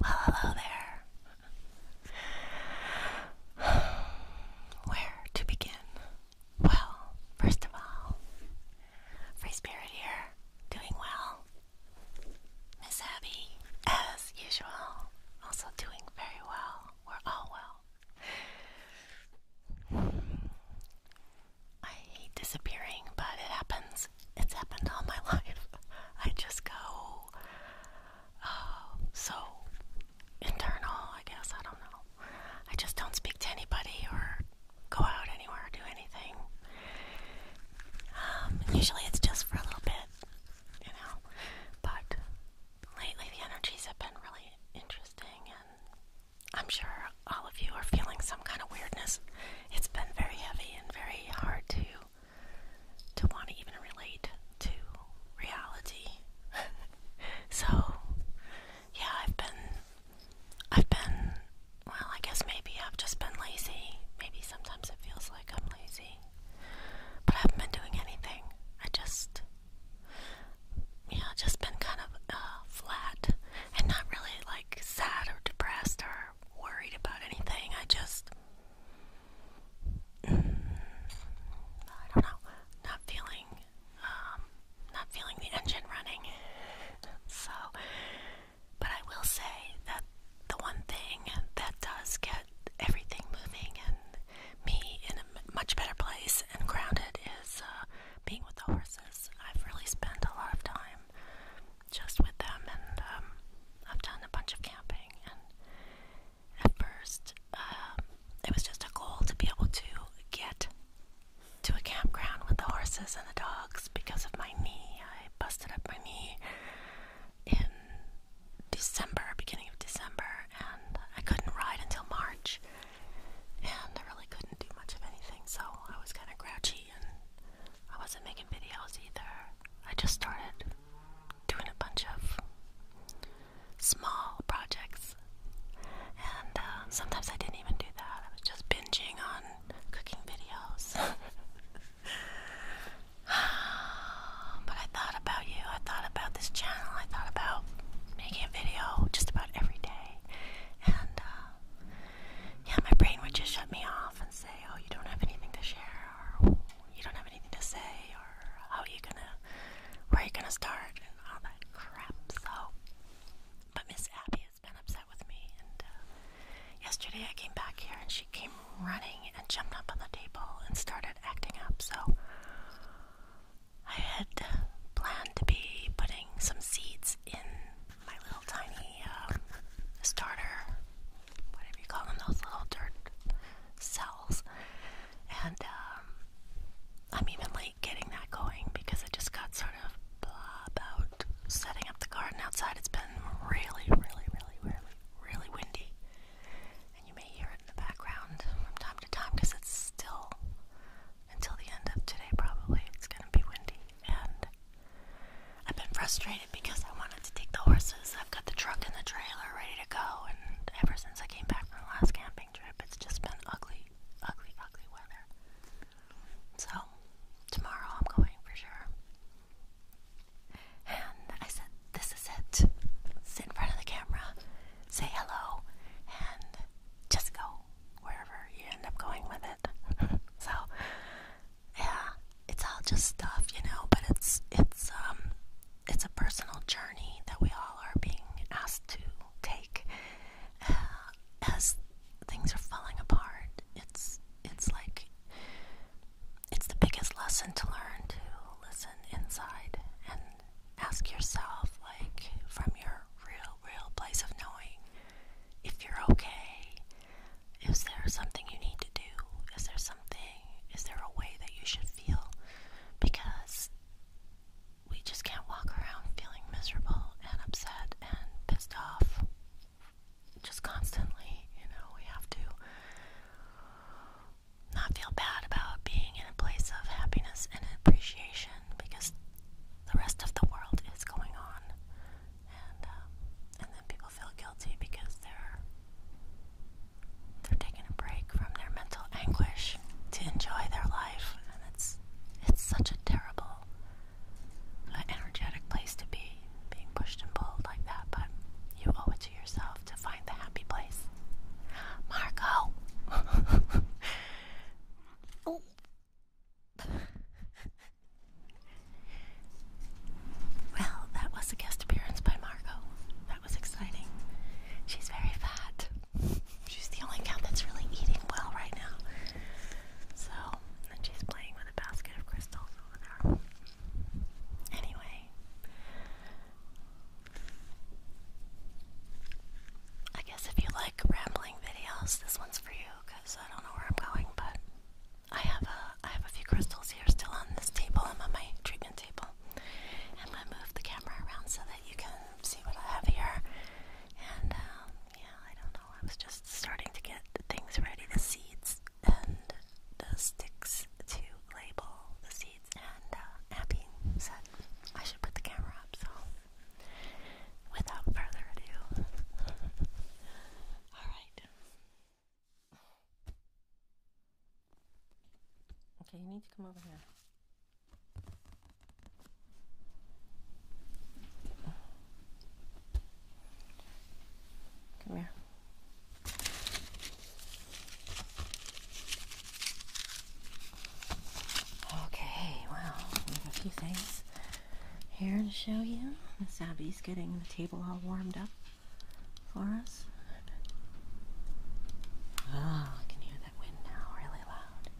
Well, hello there. Where to begin? Well, first of all, Free Spirit here, doing well. Miss Abby, as usual, also doing very well. We're all well. I hate disappearing, but it happens. It's happened all my life. I just go uh, so internal, I guess. I don't know. I just don't speak to anybody or go out anywhere or do anything. Um, usually it's just for a little bit, you know, but lately the energies have been really interesting, and I'm sure all of you are feeling some kind of weirdness. It's been very heavy and very hard to to want to even relate to reality. so yeah, I've been I've been well, I guess maybe I've just been lazy. Maybe sometimes it feels like I'm lazy. But I haven't been doing anything. I just, yeah, just been kind of uh, flat and not really like sad or depressed or worried about anything. I just, mm, I don't know, not feeling, um, not feeling the engine running. So but I will say that the one thing that does get everything moving and me in a much better place and grounded is uh, being with the horses. I've really spent a lot of time just with them, and um, I've done a bunch of camping. And at first, uh, it was just a goal to be able to get to a campground with the horses and the dogs because of my knee. I busted up my knee in December, beginning of December, and I couldn't ride until March. And I really couldn't do much of anything, so I was kind of grouchy and I wasn't making videos either. I just started doing a bunch of small projects, and um, sometimes I didn't even do that. I was just binging on cooking videos. but I thought about you. I thought about this channel. I thought about making a video just about every day. And uh, yeah, my brain would just shut me off and say, oh, you don't have anything to share, or you don't have anything to say, or how are you gonna, where are you gonna start, and all that crap. So, but Miss Abby has been upset with me. And uh, yesterday I came back here and she came running and jumped up on the table and started acting up. So I had planned to be putting some seeds in my little tiny um, starter, whatever you call them, those little dirt cells. And um, I'm even late getting that going because it just got sort of blah out setting up the garden outside. It's been really, really, really, really, really windy. And you may hear it in the background from time to time because it's still until the end of today, probably. It's going to be windy. And I've been frustrated because I wanted to take the horses. I've got the truck and the trailer ready to go. And ever since I came back from the last camping trip, it's just been ugly, ugly, ugly weather. So, tomorrow I'm going for sure. And I said, This is it. Sit in front of the camera, say hello, and just go wherever you end up going with it. so, yeah, it's all just stuff, you know, but it's, it's, um, it's a personal journey that we all are being asked to take as things are falling apart, it's it's like it's the biggest lesson to learn to listen inside and ask yourself, like from your real, real place of knowing, if you're okay. Is there something you need to do? Is there something? Is there a way that you should feel? Because we just can't walk around feeling miserable and upset and pissed off just constantly, you know, we have to not feel bad about being in a place of happiness and appreciation because the rest of the world is going on, and um, and then people feel guilty because they're they're taking a break from their mental anguish to enjoy their life, and it's it's such a terrible an energetic place to be, being pushed and pulled like that, but you owe it to yourself to find the happy place. Marco! Oh. well, that was a guest appearance by Margot. That was exciting. She's very fat. She's the only cat that's really eating well right now. So and she's playing with a basket of crystals over there. Anyway, I guess if you like rambling videos, this one's for you because I don't know where I'm going, but I have a I have a few crystals here still on this table. I'm on my treatment table. I'm gonna move the camera around so that you can see what I have here, and um, yeah, I don't know. I was just starting to get things ready the seeds and the sticks to label the seeds. And uh, Abby said I should put the camera up, so without further ado, alright. Okay, you need to come over here. Come here. Okay, well, we have a few things here to show you. Miss Abby's getting the table all warmed up for us. Ah, I can hear that wind now really loud.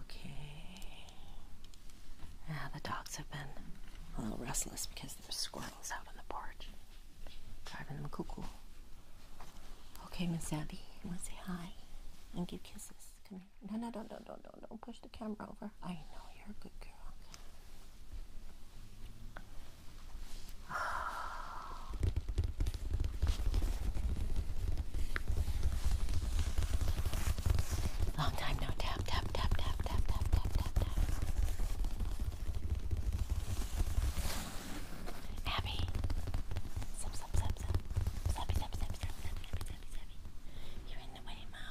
Okay. Ah, the dogs have been a little restless because there's squirrels out on the porch, driving them cuckoo. Okay, Miss Abby, you want to say hi and give kisses? Come here. No, no, no, no, no, no, don't push the camera over. I know you're a good girl. Long time no tap, tap, tap, tap, tap, tap, tap, tap, tap. Abby. Sup, sup, sup, sup. Subby, sup, sup, sup, sup, subby, subby, subby. You're in the way, Mo.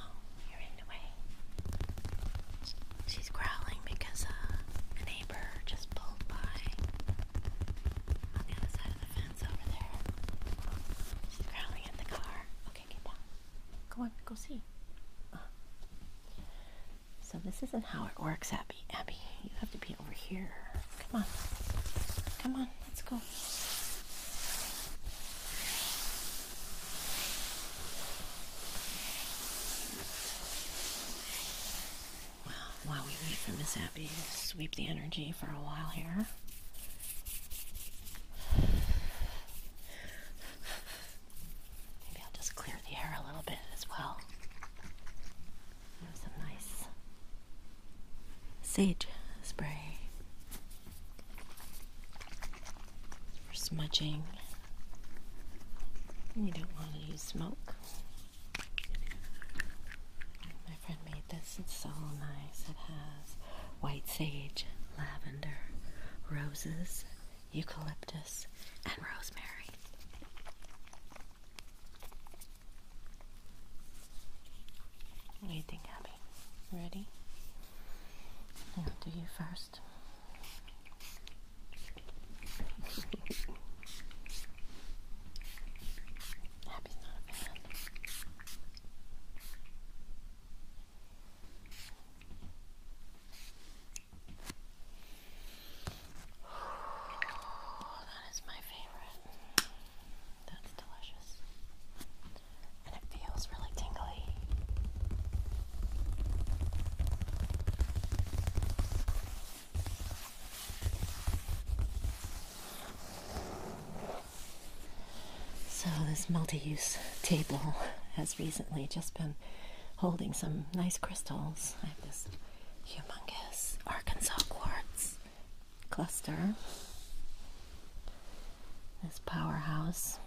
You're in the way. She's growling because uh, a neighbor just pulled by on the other side of the fence over there. She's growling at the car. Okay, get down. Go on, go see. Uh-huh. So this isn't how it works, Abby. Abby, you have to be over here. Come on. Come on, let's go while we wait for Miss Abby to sweep the energy for a while here. Maybe I'll just clear the air a little bit as well. some nice sage spray for smudging. You don't want to use smoke. My friend made this. It's so nice. It has white sage, lavender, roses, eucalyptus, and rosemary. What Abby? Ready? I'll do you first that is my favorite. That's delicious. And it feels really tingly. So this multi-use table has recently just been holding some nice crystals. I have this humongous Arkansas quartz cluster. This powerhouse.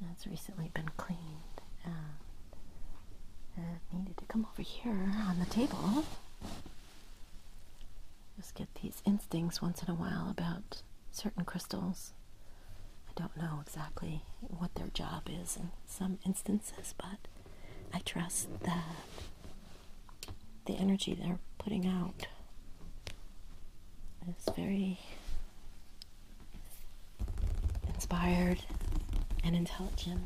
That's recently been cleaned needed to come over here on the table. Just get these instincts once in a while about certain crystals. I don't know exactly what their job is in some instances, but I trust that the energy they're putting out is very inspired, and intelligent.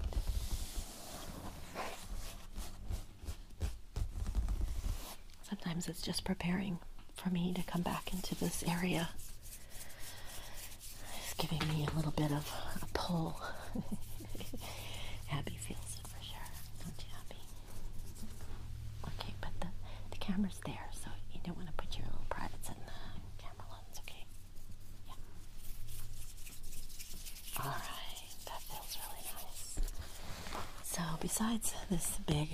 Sometimes it's just preparing for me to come back into this area. It's giving me a little bit of a pull. Abby feels it for sure, don't you, Abby? Okay, but the, the camera's there, so you don't want to put your little privates in the camera lens, okay? Yeah. All right, that feels really nice. So, besides this big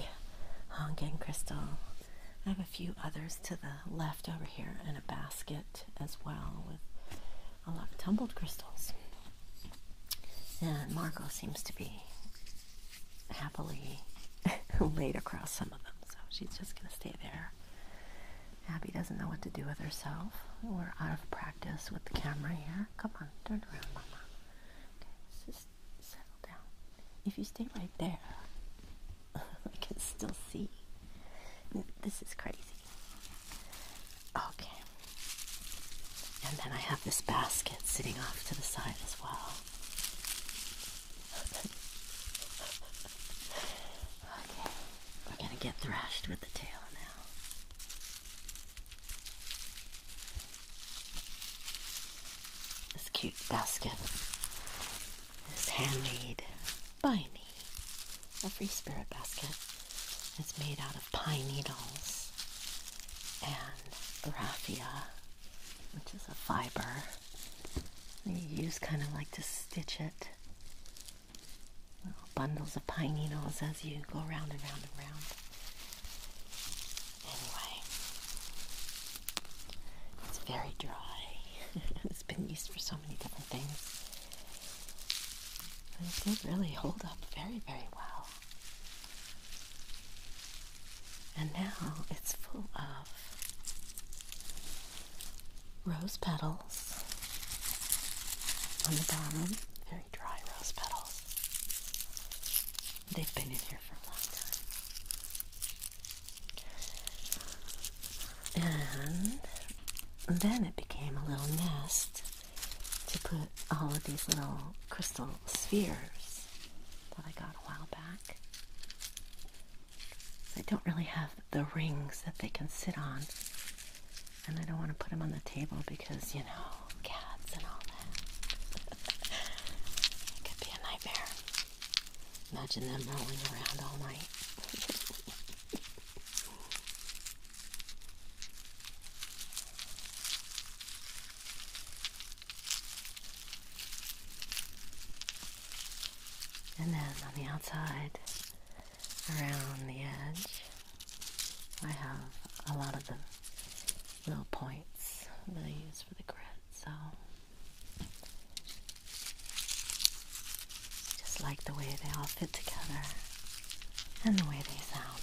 honking crystal, I have a few others to the left over here and a basket as well with a lot of tumbled crystals. And Marco seems to be happily laid across some of them, so she's just going to stay there Abby doesn't know what to do with herself. We're out of practice with the camera here. Come on, turn around, Mama. Okay, just settle down. If you stay right there, I can still see. This is crazy. Okay. And then I have this basket sitting off to the side as well. Okay, we're gonna get thrashed with the tail now. This cute basket is handmade by me. Every spirit basket. is made out of pine needles and raffia, which is a fiber. You use kind of like to stitch it little bundles of pine needles as you go round and round and round. Anyway, it's very dry. it's been used for so many different things. But it really holds up very, very well. And now it's full of rose petals on the bottom, very dry rose petals. They've been in here for a long time. And then it became a little nest to put all of these little crystal spheres that I got a while back. I don't really have the rings that they can sit on. And I don't want to put them on the table because, you know, cats and all that. could be a nightmare. Imagine them rolling around all night. And then on the outside, around the edge, I have a lot of the little points that I use for the grid. So just like the way they all fit together and the way they sound.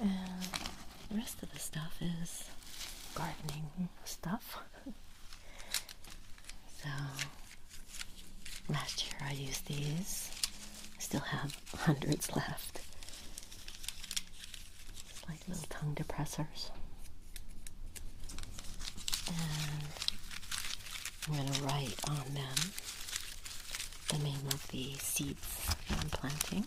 And the rest of the stuff is gardening stuff. so Last year I used these. I still have hundreds left. like little tongue depressors. And I'm going to write on them the name of the seeds I'm planting.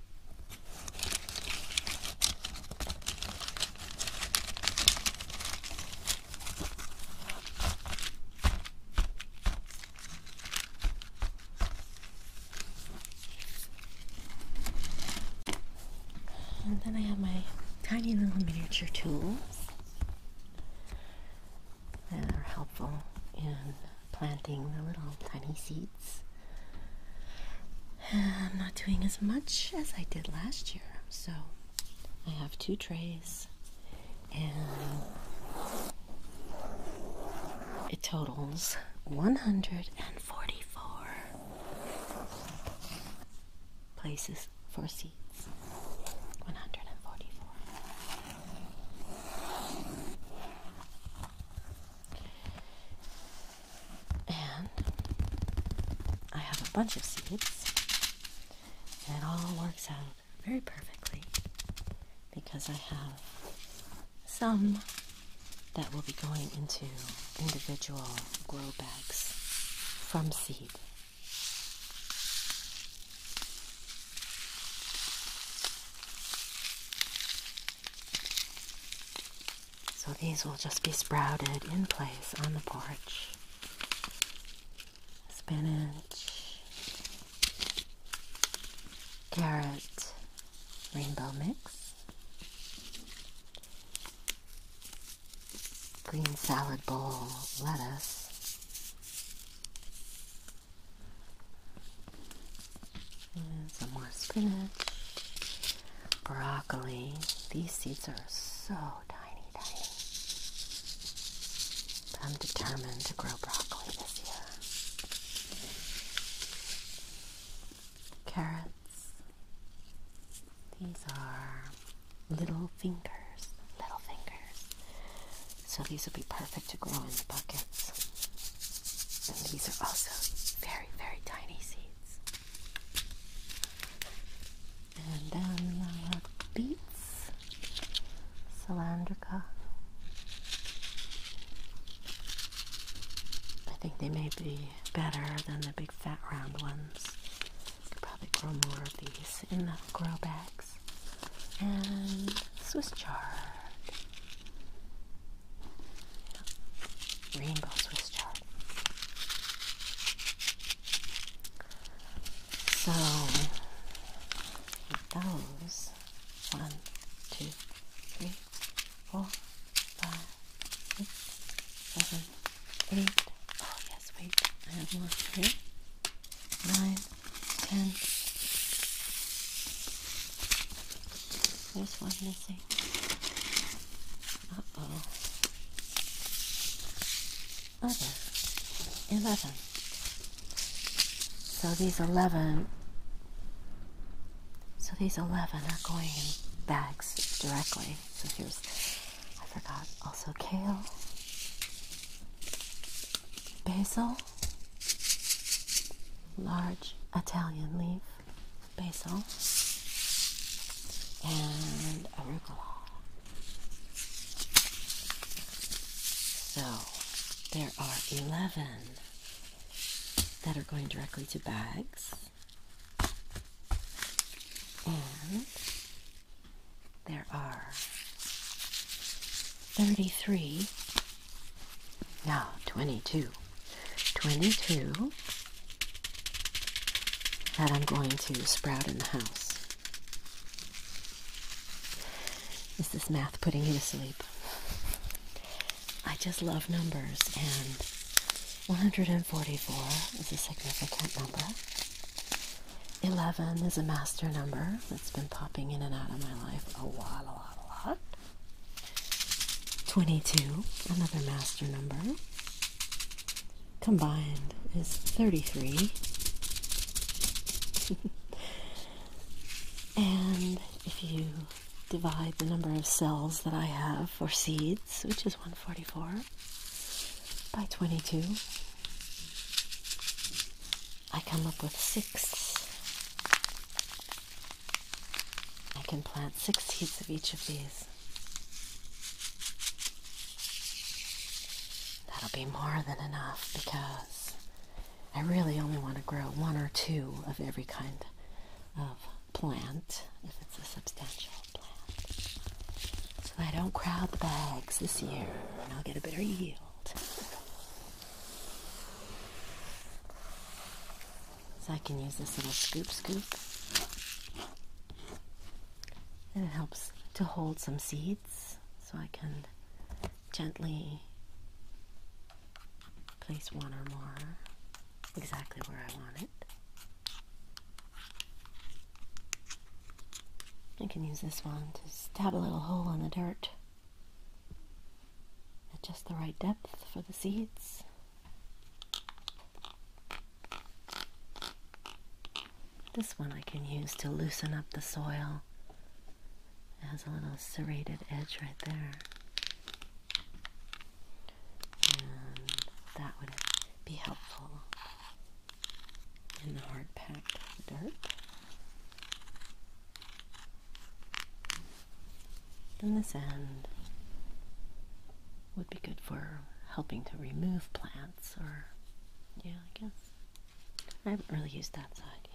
And then I have my tiny little miniature tools that are helpful in planting the little tiny seeds. I'm not doing as much as I did last year, so I have two trays and it totals 144 places for seats. 144. And I have a bunch of seeds, and it all works out very perfectly because I have some that will be going into individual grow bags from seed. So these will just be sprouted in place on the porch. Spinach, carrot, rainbow mix, green salad bowl lettuce, some more spinach, broccoli. These seeds are so tiny, tiny. I'm determined to grow broccoli this year. Carrots. These are little fingers, little fingers. So these will be perfect to grow in the buckets. And these are also very, very tiny seeds. And then beets, cilantro. I think they may be better than the big fat round ones. probably grow more of these in the grow bags. And Swiss chard. Rainbow Swiss chard. So those one, two, three, four, five, six, seven, eight. Oh yes, wait, I have more here. Nine, ten. There's one missing. Uh-oh. Other. Eleven. So these eleven so these eleven are going in bags directly. So here's I forgot also kale. Basil large Italian leaf basil, and arugula. So there are 11 that are going directly to bags. And there are 33, no, 22, 22 that I'm going to sprout in the house. Is this math putting you to sleep? I just love numbers, and 144 is a significant number. 11 is a master number that's been popping in and out of my life a lot, a lot, a lot. 22, another master number, combined is 33. and if you divide the number of cells that I have or seeds, which is 144, by 22, I come up with six. I can plant six seeds of each of these. That'll be more than enough because I really only want to grow one or two of every kind of plant if it's a substantial plant. So I don't crowd the bags this year and I'll get a better yield. So I can use this little scoop scoop. And it helps to hold some seeds so I can gently place one or more exactly where I want it. I can use this one to stab a little hole in the dirt at just the right depth for the seeds. This one I can use to loosen up the soil. It has a little serrated edge right there. And that would be helpful in the hard packed dirt. Then this end would be good for helping to remove plants or, yeah, I guess. I haven't really used that side yet.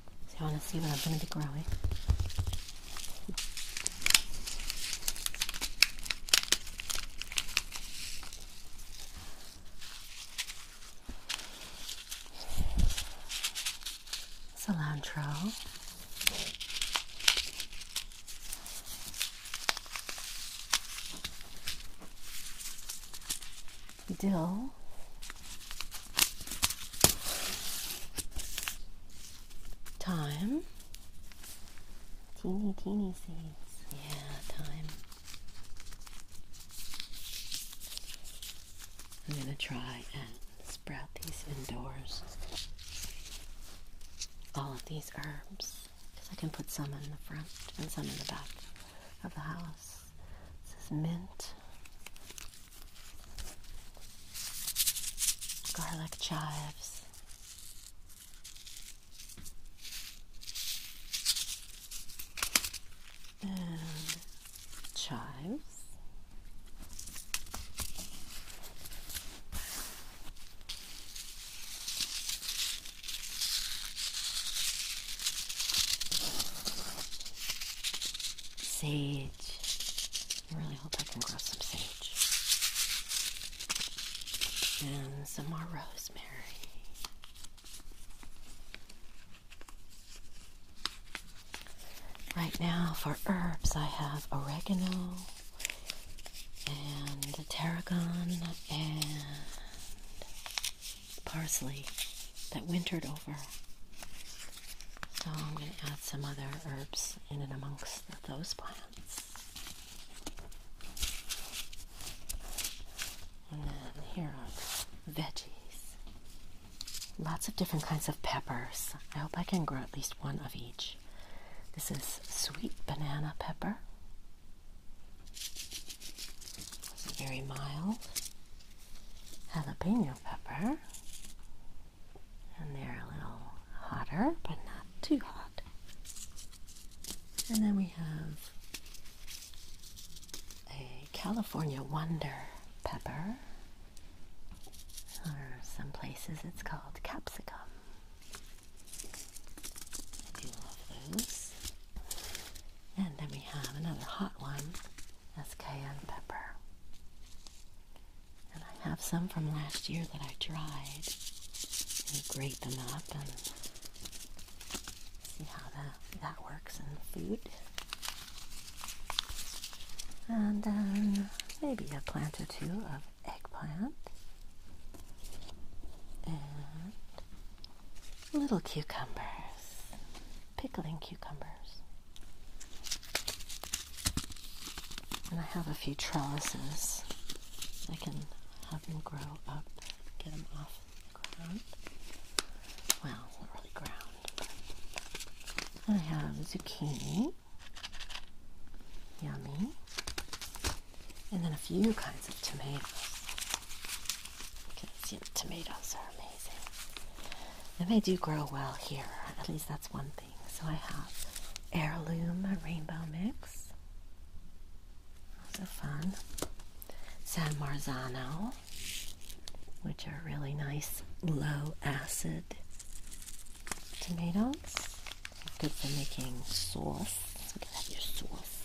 So I want to see what I'm going to be growing. cilantro. Dill. Time. Teeny, teeny seeds. Yeah, time. I'm going to try and sprout these indoors. All of these herbs. Because I can put some in the front and some in the back of the house. This is mint garlic chives. And chives. Sage. I really hope I can grow some sage and some more rosemary. Right now, for herbs, I have oregano and tarragon and parsley that wintered over so I'm going to add some other herbs in and amongst those plants. And then here are veggies. Lots of different kinds of peppers. I hope I can grow at least one of each. This is sweet banana pepper. It's very mild. Jalapeno pepper. And they're a little hotter, but not too hot. And then we have a California Wonder pepper. Or some places it's called capsicum. I do love those. And then we have another hot one as cayenne pepper. And I have some from last year that I dried and grate them up and see how that, that works in food. And then maybe a plant or two of eggplant. And little cucumbers, pickling cucumbers. And I have a few trellises. I can have them grow up, get them off the ground. Well, not really ground. I have zucchini. Yummy. And then a few kinds of tomatoes. Because, tomatoes are amazing amazing. And they do grow well here. At least that's one thing. So I have heirloom rainbow mix. Also fun. San Marzano, which are really nice low acid tomatoes. Good for making sauce. You can your sauce.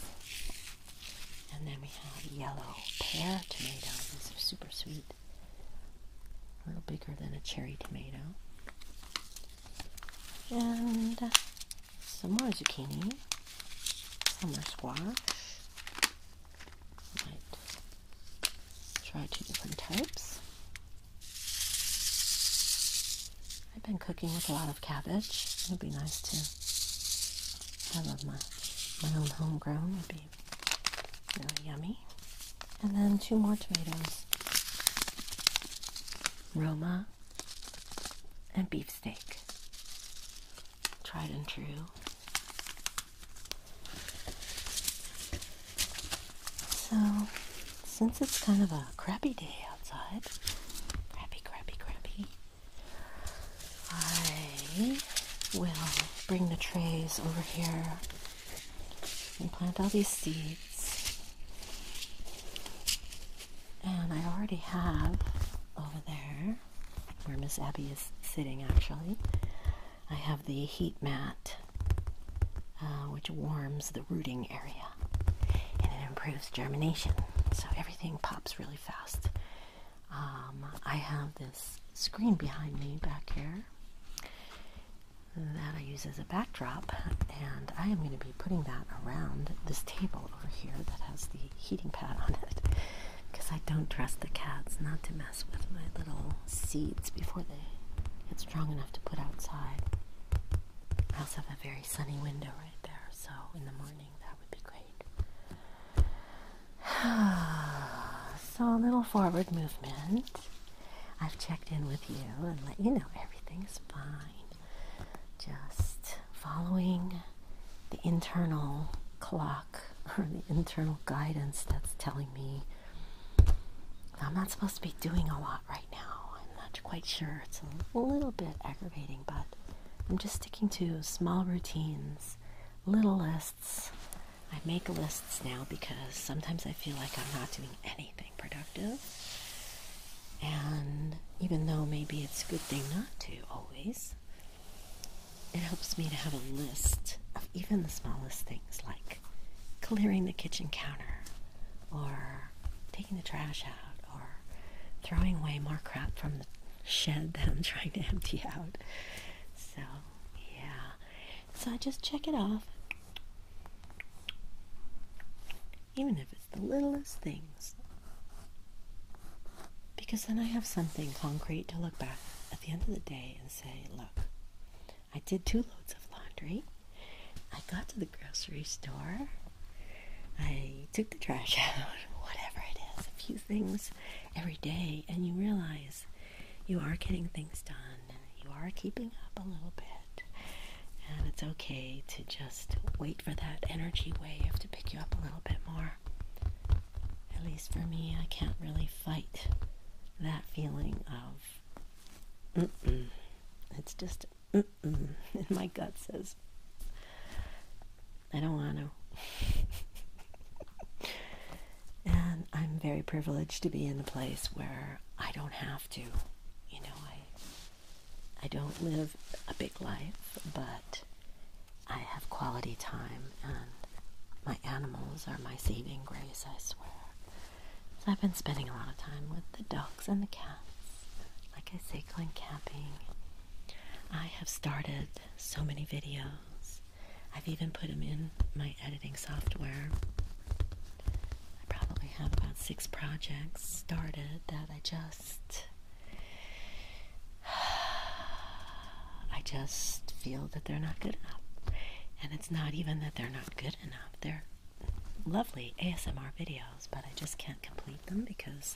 And then we have yellow pear tomatoes. These are super sweet a little bigger than a cherry tomato, and some more zucchini, some more squash. Might try two different types. I've been cooking with a lot of cabbage. It would be nice to have my, my own homegrown. Would be yummy. And then two more tomatoes. Roma and beefsteak. Tried and true. So, since it's kind of a crappy day outside, crappy, crappy, crappy, I will bring the trays over here and plant all these seeds. And I already have over there, where Miss Abby is sitting actually, I have the heat mat, uh, which warms the rooting area and it improves germination. So everything pops really fast. Um, I have this screen behind me back here that I use as a backdrop, and I am going to be putting that around this table over here that has the heating pad on it because I don't trust the cats not to mess with my little seeds before they get strong enough to put outside. I also have a very sunny window right there, so in the morning that would be great. so a little forward movement. I've checked in with you and let you know everything's fine. Just following the internal clock or the internal guidance that's telling me I'm not supposed to be doing a lot right now. I'm not quite sure. It's a little bit aggravating, but I'm just sticking to small routines, little lists, I make lists now because sometimes I feel like I'm not doing anything productive. And even though maybe it's a good thing not to always, it helps me to have a list of even the smallest things like clearing the kitchen counter or taking the trash out or throwing away more crap from the shed that I'm trying to empty out. So, yeah. So I just check it off. Even if it's the littlest things. Because then I have something concrete to look back at the end of the day and say, look, I did two loads of laundry. I got to the grocery store. I took the trash out, whatever it is, a few things every day, and you realize you are getting things done. You are keeping up a little bit. And it's okay to just wait for that energy wave to pick you up a little bit more. At least for me, I can't really fight that feeling of mm -mm. It's just mm my gut says, I don't want to. And I'm very privileged to be in a place where I don't have to. You know, I I don't live a big life, but I have quality time and my animals are my saving grace, I swear. So I've been spending a lot of time with the dogs and the cats. Like I say, going camping. I have started so many videos I've even put them in my editing software. I probably have about six projects started that I just I just feel that they're not good enough. And it's not even that they're not good enough. They're lovely ASMR videos, but I just can't complete them because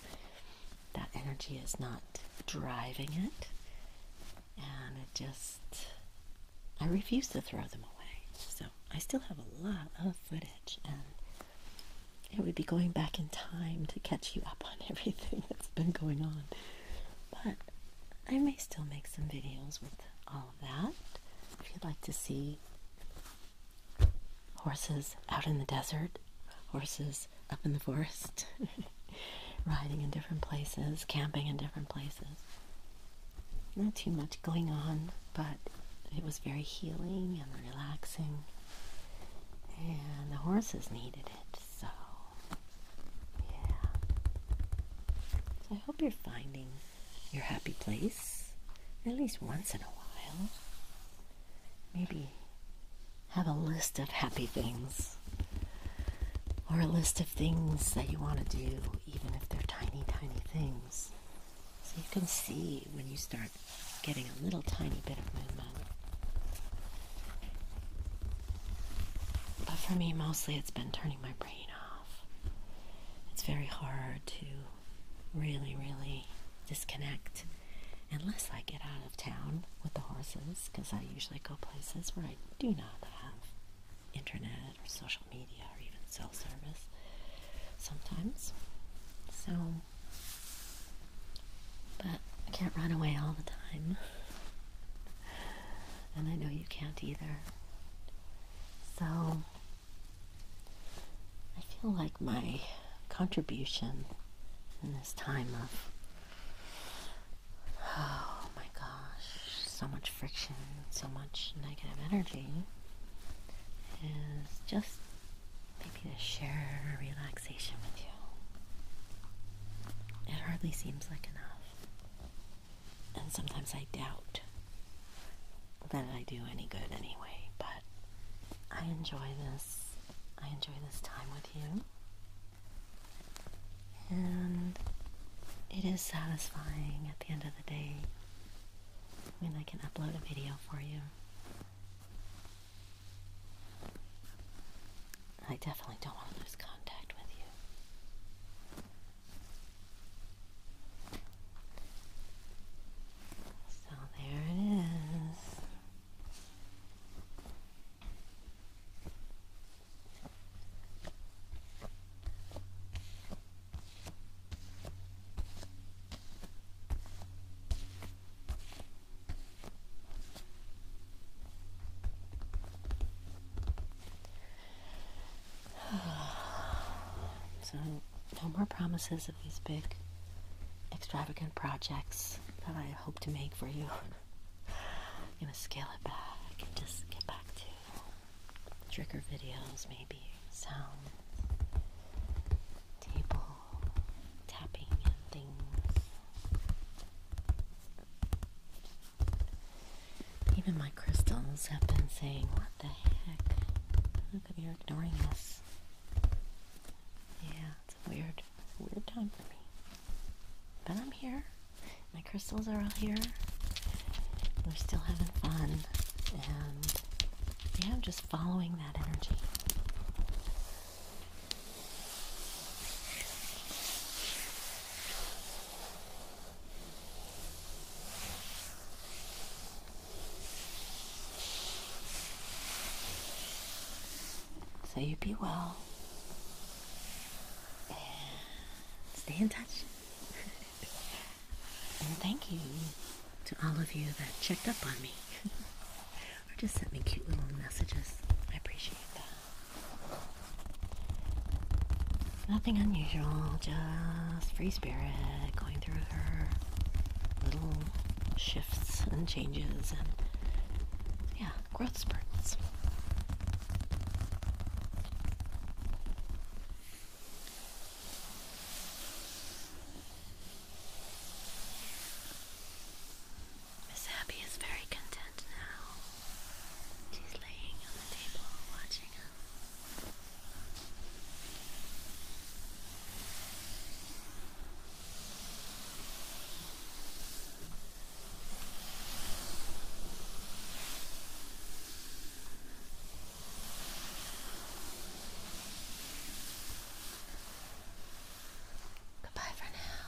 that energy is not driving it and it just I refuse to throw them away. So I still have a lot of footage, and it would be going back in time to catch you up on everything that's been going on. But I may still make some videos with all of that. If you'd like to see horses out in the desert, horses up in the forest. riding in different places, camping in different places. Not too much going on, but it was very healing and relaxing. And the horses needed it, so yeah. I hope you're finding your happy place at least once in a while. Maybe have a list of happy things or a list of things that you want to do, even if they're tiny, tiny things. So you can see when you start getting a little tiny bit of movement. But for me, mostly it's been turning my brain off. It's very hard to really, really disconnect unless I get out of town with the horses because I usually go places where I do not have internet or social media or even cell service sometimes. So, but I can't run away all the time. And I know you can't either. So, I feel like my contribution in this time of Oh my gosh, so much friction, so much negative energy is just maybe to share a relaxation with you. It hardly seems like enough. And sometimes I doubt that I do any good anyway, but I enjoy this. I enjoy this time with you. And it is satisfying at the end of the day when I can upload a video for you. I definitely don't want to lose contact with you. So there it is. So, no more promises of these big, extravagant projects that I hope to make for you. I'm gonna scale it back and just get back to trigger videos, maybe sound, table, tapping, and things. Even my crystals have been saying, What the heck? Look at you're ignoring us. Yeah, it's a weird, weird time for me. But I'm here. My crystals are all here. We're still having fun. And yeah, I'm just following that energy. So you be well stay in touch. and thank you to all of you that checked up on me or just sent me cute little messages. I appreciate that. Nothing unusual, just free spirit going through her little shifts and changes and yeah, growth spurts. Miss Abby is very content now. She's laying on the table watching us. Goodbye for now.